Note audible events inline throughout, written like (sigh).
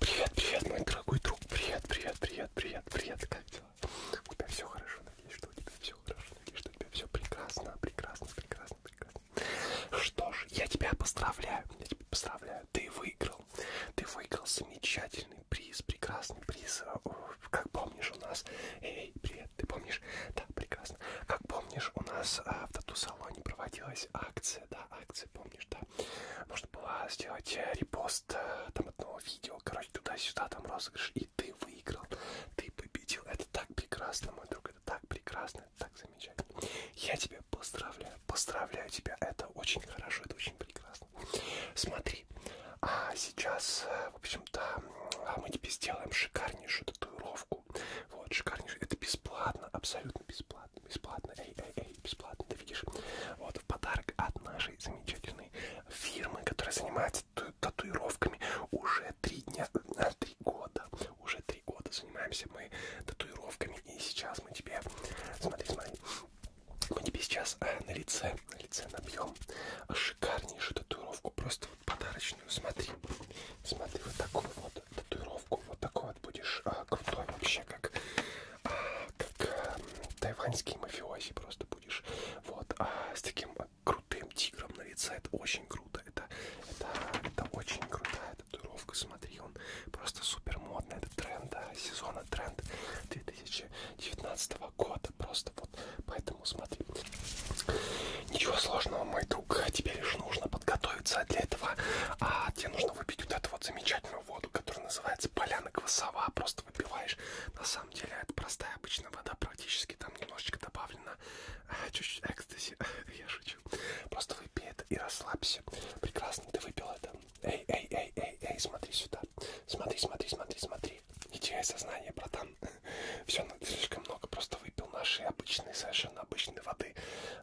Привет, привет, мой дорогой друг. Привет, привет, привет, привет, привет. Как дела? У тебя все хорошо, надеюсь, что у тебя все хорошо, надеюсь, что у тебя все прекрасно, прекрасно, прекрасно, прекрасно. Что ж, я тебя поздравляю, я тебя поздравляю. Ты выиграл, ты выиграл замечательный приз, прекрасный приз. Э, как помнишь у нас? Эй, привет, ты помнишь? Да, прекрасно интересно. Как помнишь, у нас а, в тату-салоне проводилась акция, да, акция, помнишь, да? Нужно было сделать э, репост а, там одного видео, короче, туда-сюда, там розыгрыш, и ты выиграл, ты победил. Это так прекрасно, мой друг, это так прекрасно, это так замечательно. Я тебя поздравляю, поздравляю тебя, это очень хорошо, это очень прекрасно. Смотри, а сейчас, э, в общем-то, а мы тебе сделаем шикарнейшую татуировку. Вот, шикарнейший. Это бесплатно, абсолютно бесплатно. Бесплатно, эй, эй, эй, бесплатно, ты видишь. Вот, в подарок от нашей замечательной фирмы, которая занимается татуировками уже три дня, э, три года. Уже три года занимаемся мы татуировками. И сейчас мы тебе, смотри, смотри. Мы тебе сейчас э, на лице, на лице набьем шикарнейшую татуировку. Просто подарочную. Смотри, смотри, вот такую вот татуировку, вот такой вот будешь а, крутой вообще, как, а, как а, тайваньский мафиози просто будешь. Вот, а, с таким а, крутым тигром на лице, это очень круто, это, это, это очень крутая татуировка, смотри, он просто супер модный, это тренд, да, сезона тренд 2019 года, просто вот, поэтому смотри, Ничего сложного, мой друг. Тебе лишь нужно подготовиться для этого. А тебе нужно выпить вот эту вот замечательную воду, которая называется поляна квасова. Просто выпиваешь. На самом деле это простая обычная вода. Практически там немножечко добавлено. А, чуть-чуть экстази. (laughs) Я шучу. Просто выпей это и расслабься. Прекрасно, ты выпил это. Эй, эй, эй, эй, эй, смотри сюда. Смотри, смотри, смотри, смотри. Не теряй сознание, братан стакан. Все, ну, слишком много просто выпил нашей обычной, совершенно обычной воды.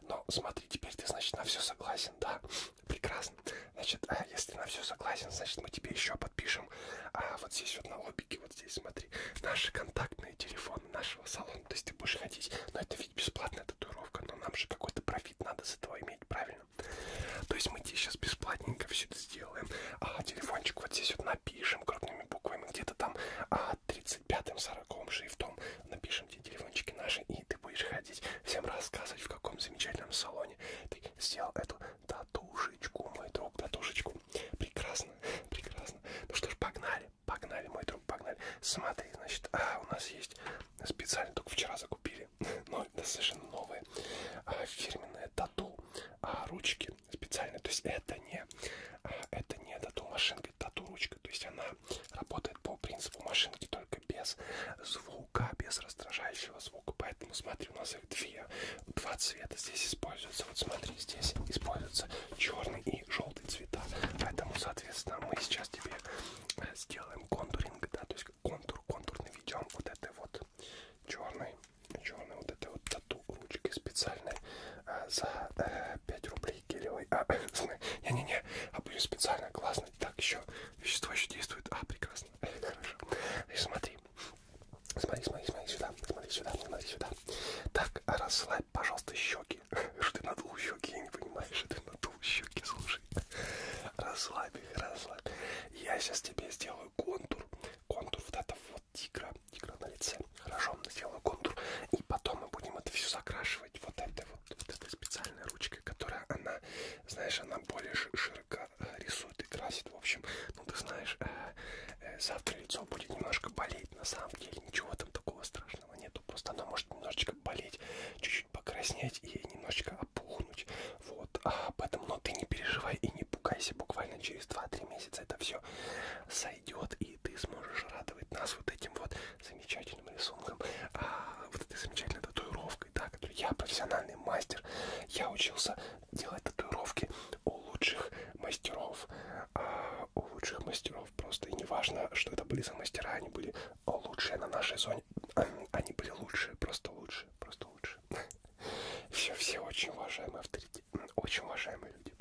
Но смотри, теперь ты, значит, на все согласен, да? Прекрасно. Значит, а если на все согласен, значит, мы тебе еще подпишем. А вот здесь вот на лобике, вот здесь, смотри, наши контактные телефоны нашего салона. То есть ты будешь ходить, но это ведь бесплатная татуировка, но нам же какой-то профит надо с этого иметь, правильно? То есть мы тебе сейчас бесплатненько все это сделаем. А телефончик вот здесь вот написан напишем крупными буквами где-то там а 35-м, 40 шрифтом напишем тебе телефончики наши, и ты будешь ходить всем рассказывать, в каком замечательном салоне ты сделал эту татушечку, мой друг, татушечку. Прекрасно, прекрасно. Ну что ж, погнали, погнали, мой друг, погнали. Смотри, значит, а, у нас есть специально, только вчера закупили, (laughs) но это совершенно новые а, фирменные тату а, ручки специально. То есть это не, а, это не тату-машинка, тату-ручка. То есть она работает по принципу машинки, только без звука, без раздражающего звука. Поэтому смотри, у нас их две, два цвета здесь используются. Вот смотри, здесь используются черный и желтый цвета. Поэтому, соответственно, мы сейчас тебе э, сделаем контуринг, да, то есть контур, контур наведем вот этой вот черной черный вот этой вот тату ручкой специальной а, за э, а, 5 рублей гелевой. А, не-не-не, а были специально классно. Так, еще вещество еще действует. А, прекрасно. (laughs) Хорошо. И смотри. Смотри, смотри, смотри сюда, смотри сюда, смотри сюда. Так, расслабь, пожалуйста, щеки. (laughs) Что ты надул щеки, я не понимаю, что ты надул щеки, слушай. Расслабь их, расслабь. Я сейчас тебе сделаю контур, контур вот это тигра, тигра на лице. Хорошо, сделаю контур. И потом мы будем это все закрашивать вот этой вот, вот этой специальной ручкой, которая она, знаешь, она более широко э, рисует и красит. В общем, ну ты знаешь, э, э, завтра лицо будет немножко болеть. На самом деле ничего там такого страшного нету. Просто оно может немножечко болеть, чуть-чуть покраснеть и немножечко опухнуть. Вот. А, поэтому, но ты не переживай и не пугайся. Буквально через 2-3 месяца это все сойдет, и ты сможешь радовать нас вот этим вот замечательным рисунком, а, вот этой замечательной татуировкой, да, которую я профессиональный мастер, я учился делать татуировки у лучших мастеров, а, у лучших мастеров просто, и неважно, что это были за мастера, они были лучшие на нашей зоне, они были лучшие, просто лучшие, просто лучшие. Все, все очень уважаемые авторитеты, очень уважаемые люди.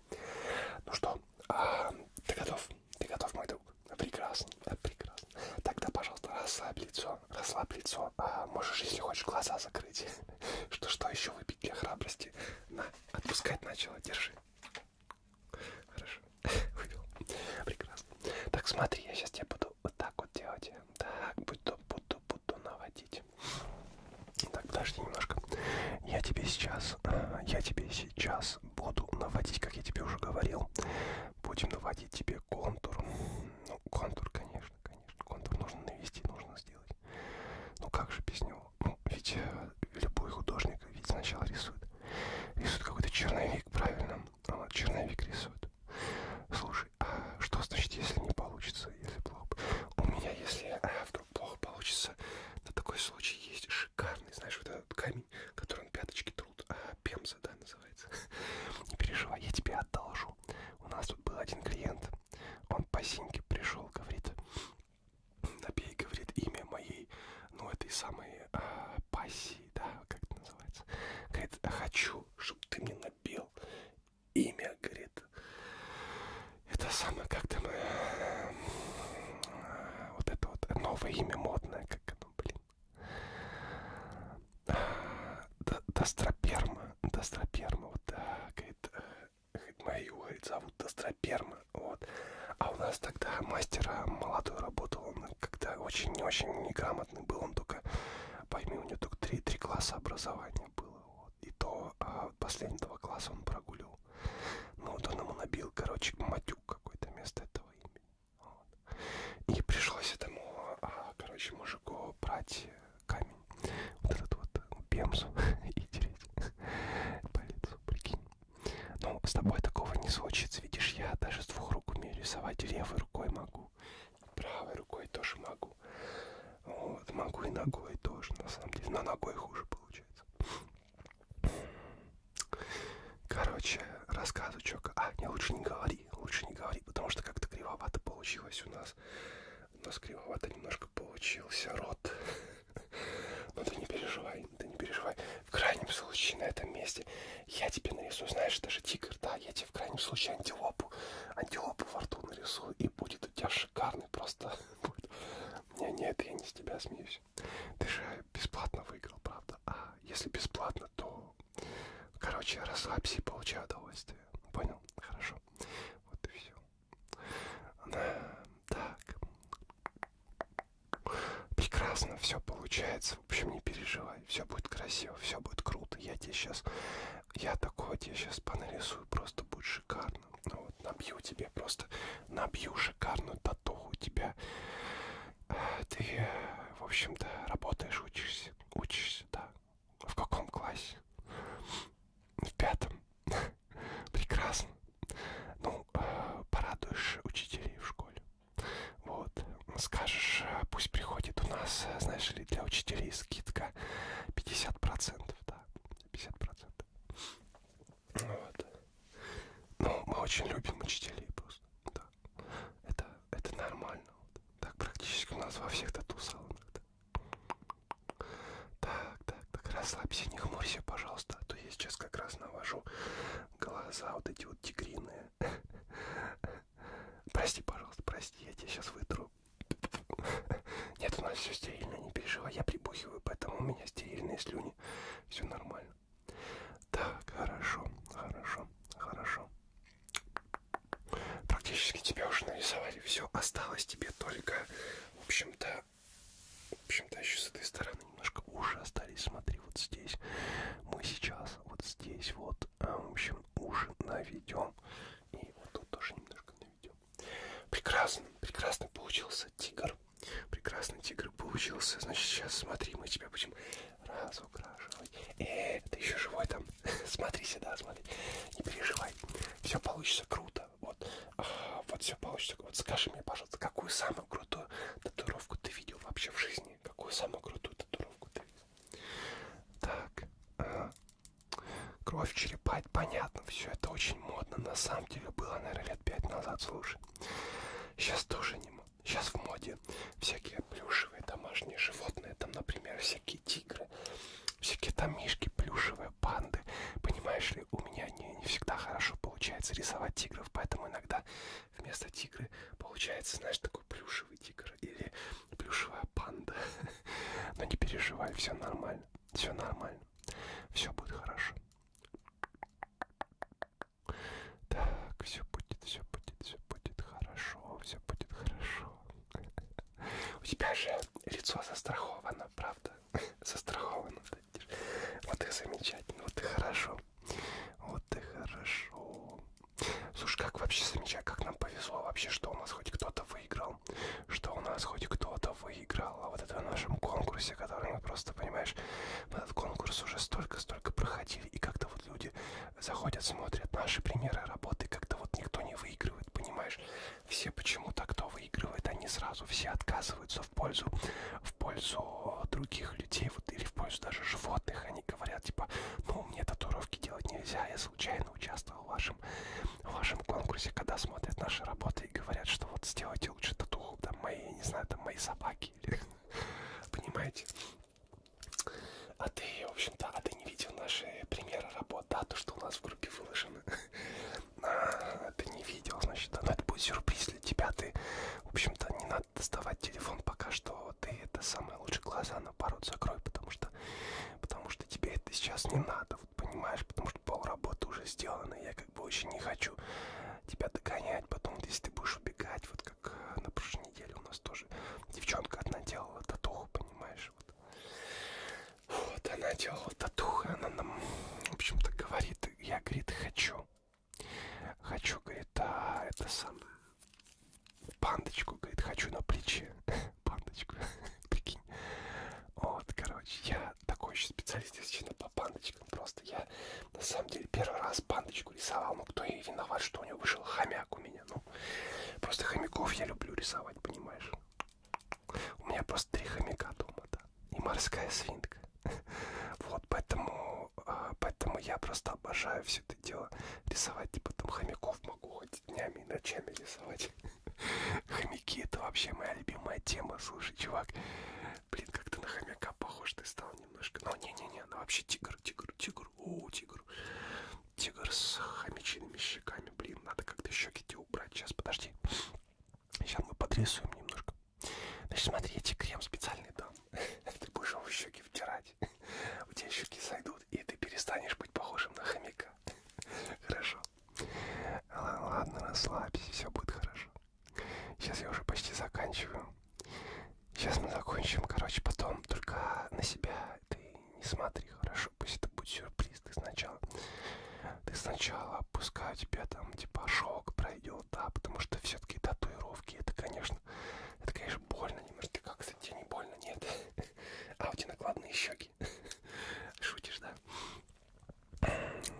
Ну что, а, ты готов? Ты готов, мой друг? Прекрасно, э, прекрасно. Тогда, пожалуйста, расслабь лицо, расслабь лицо. А, можешь, если хочешь, глаза закрыть. (laughs) Что, что еще выпить для храбрости? На, отпускать начало, держи. Хорошо, (laughs) выпил. Прекрасно. Так, смотри, я сейчас тебе буду вот так вот делать. Так, буду, буду, буду буду наводить. Так, подожди немножко. Я тебе сейчас, э, я тебе сейчас буду наводить, как я тебе уже говорил. Будем наводить тебе контур. Ну, контур, конечно, конечно. Контур нужно навести, нужно сделать. Ну как же без него? Ну, ведь э, любой художник ведь сначала рисует. Рисует какой-то черновик, правильно? А, черновик рисует. Слушай, а что значит, если не получится? получится, если плохо... У меня, если а, вдруг плохо получится, на такой случай есть шикарный, знаешь, вот этот камень, который он пяточки трут, а, пемза, да, называется. (laughs) Не переживай, я тебе одолжу. У нас тут был один клиент, он по синьке пришел, говорит, набей, говорит, имя моей, ну, этой самой а, пассии, да, как это называется. Говорит, хочу, чтобы ты мне набил имя, говорит. Это самое как-то мы... Э, вот это вот новое имя модное, как оно, блин. А, До, Достроперма, Достроперма, вот, да, говорит, говорит, мою, говорит, зовут Достроперма, вот. А у нас тогда мастера молодой работал, он когда очень-очень неграмотный был, он только, пойми, у него только три, три класса образования было и то а, последние два класса он прогулил. Но ну, вот он ему набил, короче, матюк какой-то вместо этого имени. Вот. И пришлось этому, а, короче, мужику брать э, камень. Вот этот вот э, пемзу (laughs) и тереть по лицу, прикинь. Ну, с тобой такого не случится. Видишь, я даже с двух рук умею рисовать, левой рукой могу. Правой рукой тоже могу. Вот, могу и ногой тоже, на самом деле. Но ногой хуже получается. Короче, рассказываю, чё... А, не, лучше не говори, лучше не говори, потому что как-то кривовато получилось у нас. У нас кривовато немножко получился рот. (laughs) Но ну, ты не переживай, ты не переживай. В крайнем случае на этом месте я тебе нарисую, знаешь, даже тигр, да, я тебе в крайнем случае антилопу, антилопу во рту нарисую и будет у тебя шикарный просто (laughs) будет. Не, нет, я не с тебя смеюсь. Ты же бесплатно выиграл, правда? А если бесплатно, то, короче, расслабься и получай удовольствие. Понял? Хорошо. Вот и все. Да, так. Прекрасно, все получается. В общем, не переживай. Все будет красиво, все будет круто. Я тебе сейчас я такой вот, я сейчас понарисую, просто будет шикарно. Ну вот, набью тебе просто, набью шикарную татуху тебя. Ты, в общем-то, работаешь, учишься. Учишься, да. В каком классе? В пятом. (laughs) Прекрасно. Ну, порадуешь учителей в школе. Вот. Скажешь, пусть приходит у нас, знаешь ли, учителей. Для учителей скидка 50%, да, 50%. Вот. Ну, мы очень любим учителей просто, да. Это, это нормально. Так практически у нас во всех тату-салонах. Да. Так, так, так, расслабься, не хмурься, пожалуйста. А то я сейчас как раз навожу глаза вот эти вот тигриные. (laughs) Прости, пожалуйста, прости, я тебя сейчас вытру. (laughs) Нет, у нас все стерильно, не переживай, я прибухиваю, поэтому у меня стерильные слюни. Все нормально. Так, хорошо, хорошо, хорошо. Практически тебя уже нарисовали. Все, осталось тебе только, в общем-то, в общем-то, еще с этой стороны немножко уши остались. Смотри, вот здесь. Мы сейчас вот здесь вот, а, в общем, уже наведем. И вот тут тоже немножко наведем. Прекрасно, прекрасно получился тигр. Прекрасный тигр получился. Значит, сейчас смотри, мы тебя будем разукрашивать. Э, ты еще живой там. (laughs) смотри сюда, смотри. Не переживай. Все получится круто. Вот, а, вот все получится. Вот скажи мне, пожалуйста, какую самую крутую татуировку ты видел вообще в жизни? Какую самую крутую татуировку ты видел? Так. Ага. Кровь черепать, понятно. Все это очень модно. На самом деле было, наверное, лет пять назад, слушай. Сейчас тоже не модно. Сейчас в моде всякие плюшевые домашние животные. Там, например, всякие тигры, всякие там мишки, плюшевые панды. Понимаешь ли, у меня не, не всегда хорошо получается рисовать тигров, поэтому иногда вместо тигры получается, знаешь, такой такой плюшевый тигр или плюшевая панда. (laughs) Но не переживай, все нормально. Все нормально. Все будет хорошо. Так, все будет, все будет, все будет хорошо, все будет хорошо. (laughs) У тебя же лицо застраховано, правда? (laughs) Застраховано. Вот и замечательно, вот и хорошо. Вот и хорошо. Слушай, как вообще замечать, как нам повезло вообще, что у нас хоть кто-то выиграл, что у нас хоть кто-то выиграл, а вот это в нашем конкурсе, который мы просто, понимаешь, в этот конкурс уже столько-столько проходили, и как-то вот люди заходят, смотрят наши примеры работы, как-то вот никто не выигрывает, понимаешь, все почему-то, кто выигрывает, они сразу все отказываются в пользу, в пользу других людей, вот или в пользу даже животных, они говорят, типа, ну, мне татуировки делать нельзя, я случайно активно участвовал в вашем, в вашем конкурсе, когда смотрят наши работы и говорят, что вот сделайте лучше татуху, там мои, не знаю, там мои собаки, или, (laughs) понимаете? А ты, в общем-то, а ты не видел наши примеры работ, да, то, что у нас в группе выложено. (laughs) А, ты не видел, значит, да, ну, но это будет сюрприз для тебя, ты, в общем-то, не надо доставать телефон пока что, ты это самое лучше глаза на пару закрой, потому что работа, потому что тебе это сейчас не надо, вот понимаешь, потому что пол работы уже сделано, я как бы очень не хочу тебя догонять, потом, если ты будешь убегать, вот как на прошлой неделе у нас тоже девчонка одна делала татуху, понимаешь, вот. Вот она делала татуху, она нам, в общем-то, говорит, я, говорит, хочу, хочу, говорит, а это самое, Пандочку, говорит, хочу на плече. (laughs) Пандочку, (laughs) прикинь. Вот, короче, я такой еще специалист, если по пандочкам. Просто я, на самом деле, первый раз пандочку рисовал. Ну, кто и виноват, что у него вышел хомяк у меня. Ну, просто хомяков я люблю рисовать, понимаешь? У меня просто три хомяка дома, да. И морская свинка. (laughs) Вот, поэтому, а, поэтому я просто обожаю все это дело рисовать, типа там хомяков могу хоть днями и ночами рисовать. (laughs) Хомяки это вообще моя любимая тема, слушай, чувак. Блин, как ты на хомяка похож, ты стал немножко. Ну, не-не-не, ну вообще тигр, тигр, тигр, о, тигр. Тигр с хомячиными щеками, блин, надо как-то щеки тебе убрать. Сейчас, подожди. Сейчас мы подрисуем немножко. Значит, смотри, я тебе крем специальный дам. (laughs) Ты будешь его в щеки втирать жить. (laughs) У тебя щеки сойдут, и ты перестанешь быть похожим на хомяка. (laughs) Хорошо. Ладно, расслабься, все будет хорошо. Сейчас я уже почти заканчиваю. Сейчас мы закончим, короче, потом только на себя ты не смотри, хорошо? Пусть это будет сюрприз, ты сначала... Ты сначала, пускай у тебя там, типа, шок пройдет, да, потому что все-таки татуировки, это, конечно, это, конечно, больно немножко, как кстати, тебе не больно, нет? (laughs) А у тебя накладные щеки. (laughs) Шутишь, да?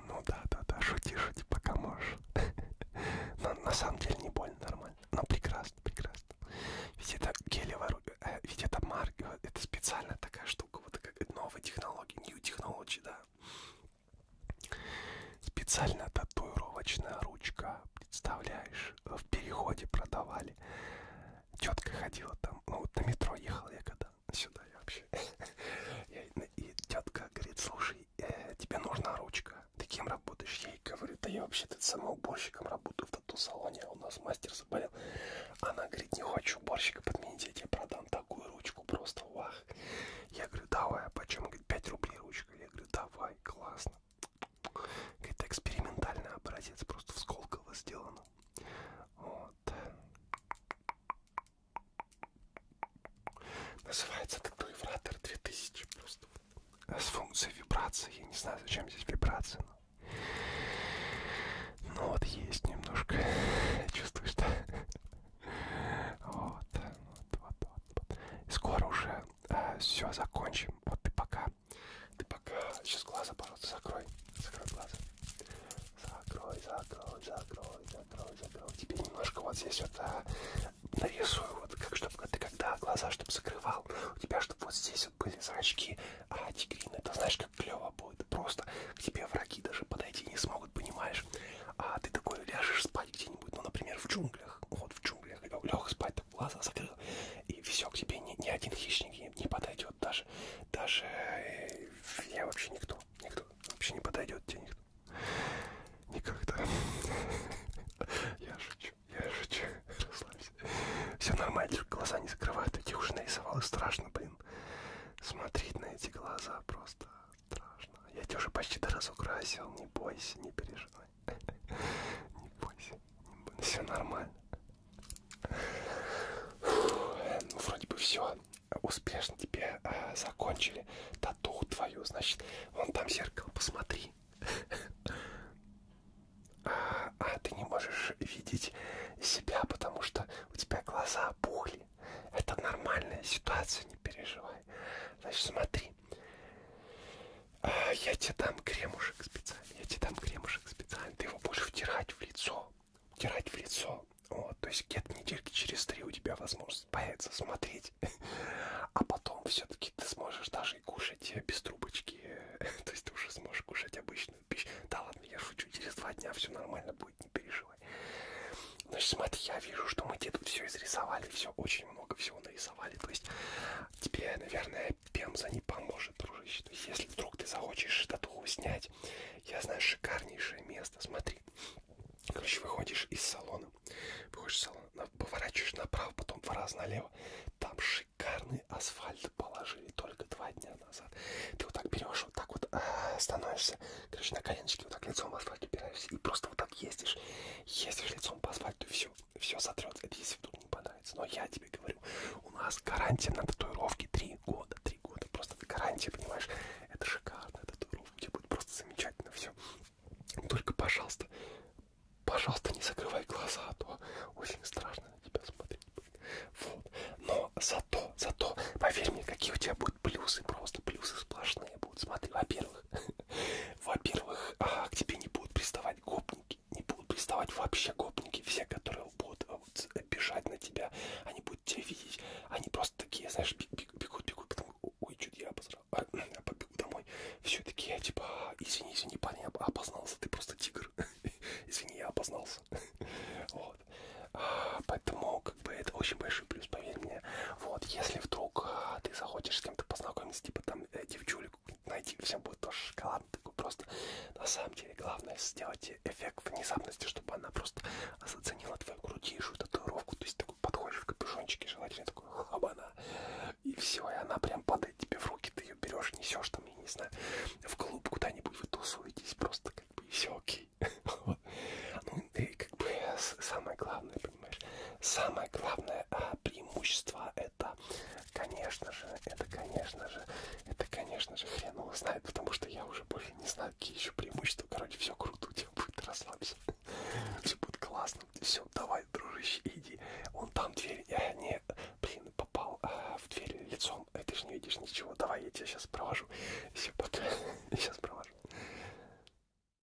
Ну да, да, да, шути, шути, пока можешь. (laughs) Но на самом деле не больно, нормально. Но прекрасно, прекрасно. Ведь это гелевая э, ведь это марка, э, это специально такая штука, вот как э, новая технология, new technology, да. Специально татуировочная ручка представляешь, в переходе продавали. Тетка ходила там, ну вот на метро ехала я когда сюда я вообще. (laughs) И тетка говорит, слушай, э, тебе нужна ручка. Ты кем работаешь? Я ей говорю, да я вообще-то самоуборщиком работаю в тату-салоне, а у нас мастер заболел. Она говорит, не хочу уборщика подменить, я тебе продам такую ручку, просто вах. Я говорю, давай, а почем? Говорит, 5 рублей ручка. Я говорю, давай, классно. Какая-то экспериментальный образец, просто в Сколково сделано. Вот. Называется это клавиатор 2000 просто. С функцией вибрации. Я не знаю, зачем здесь вибрация. Но, но ну вот есть немножко. Я чувствую, что... (laughs) Вот, вот, вот, вот. Скоро уже э, все закончим. Вот ты пока. Ты пока. Сейчас глаза, пожалуйста, закрой. Закрой глаза. Закрой, закрой, закрой, закрой, закрой. Тебе немножко вот здесь вот а, нарисую, вот как чтобы а ты когда глаза чтобы закрывал, у тебя чтобы вот здесь вот были зрачки, а тигриные, это знаешь, как клево будет. Просто к тебе враги даже подойти не смогут, понимаешь? А ты такой ляжешь спать где-нибудь, ну, например, в джунглях. Вот в джунглях. Лег спать такой глаза закрыл, и все, к тебе ни, ни один хищник не, не подойдет, даже, даже э, я вообще никто, никто, вообще не подойдет тебе никто, никогда. (laughs) Я шучу, я шучу, расслабься. Все нормально, глаза не закрывают, я их уже нарисовал, и страшно, блин. Смотреть на эти глаза просто страшно. Я тебя уже почти доразукрасил, не бойся, не переживай. Не бойся, не бойся, все нормально. Ну, вроде бы все успешно тебе э, закончили тату твою, значит, вон там зеркало, посмотри. А, а ты не можешь видеть себя, потому что у тебя глаза опухли. Это нормальная ситуация, не переживай. Значит, смотри. А, я тебе дам кремушек специально. Я тебе дам кремушек специально. Ты его будешь втирать в лицо. Втирать в лицо. Вот, то есть где-то недельки через три у тебя возможность появится смотреть. А потом все-таки ты сможешь даже и кушать без трубочки. (laughs) То есть ты уже сможешь кушать обычную пищу. Да ладно, я шучу, через два дня все нормально будет, не переживай. Значит, смотри, я вижу, что мы тебе тут все изрисовали, все очень очень много всего нарисовали. То есть тебе, наверное, пемза не поможет, дружище. То есть если вдруг ты захочешь татуху снять, я знаю шикарнейшее место. Смотри. Короче, выходишь из салона, выходишь из салона, поворачиваешь направо, потом два раза налево. Там шикарный асфальт положили только два дня назад. Ты вот так берешь, вот так вот э, становишься, короче, на коленочке, вот так лицом в асфальт упираешься и просто вот так ездишь. Ездишь лицом по асфальту и все все сотрется. Это если вдруг не понравится. Но я тебе говорю, у нас гарантия на татуировке 3 года. 3 года. Просто гарантия, понимаешь? Это шикарная татуировка. У тебя будет просто замечательно все. Только, пожалуйста, пожалуйста, не закрывай глаза, а то очень страшно на тебя смотреть. Вот. Но зато, зато, поверь мне, какие у тебя будут плюсы, просто плюсы сплошные будут. Смотри, во-первых, во-первых. (laughs) Во-первых, к тебе не будут приставать гопники. Не будут приставать вообще гопники. Все, которые будут а бежать на тебя, они будут тебя видеть. Они просто такие, знаешь, бегут, бегут, потом, ой, что-то я обосрал. А, (clears throat) побегу домой. Все такие, типа, «А, извини, извини, парень, я опознался, ты просто тигр. (laughs) Извини, я опознался. (laughs) Вот. Поэтому, как бы, это очень большой плюс, поверь мне. Вот, если вдруг ты захочешь кем-то познакомиться, типа там э, девчулику найти, всем будет тоже шоколадно такой просто. На самом деле главное сделать эффект внезапности, чтобы она просто заценила твою крутейшую татуировку. То есть такой подходишь в капюшончике, желательно такой хабана. И все, и она прям падает тебе в руки, ты ее берешь, несешь там, я не знаю, в клуб куда-нибудь вы тусуетесь, просто как бы и все окей. (laughs) Ну и как бы самое главное, понимаешь. Самое главное а, преимущество это, конечно же, это, конечно же, это, конечно же, хрен его знает, потому что я уже больше не знаю, какие еще преимущества. Короче, все круто, у тебя будет расслабься. (laughs) Все будет классно. Все, давай, дружище, иди. Он там дверь. Я э, не, блин, попал а, в дверь лицом. А ты же не видишь ничего. Давай, я тебя сейчас провожу. Все, пока. Сейчас (laughs) провожу.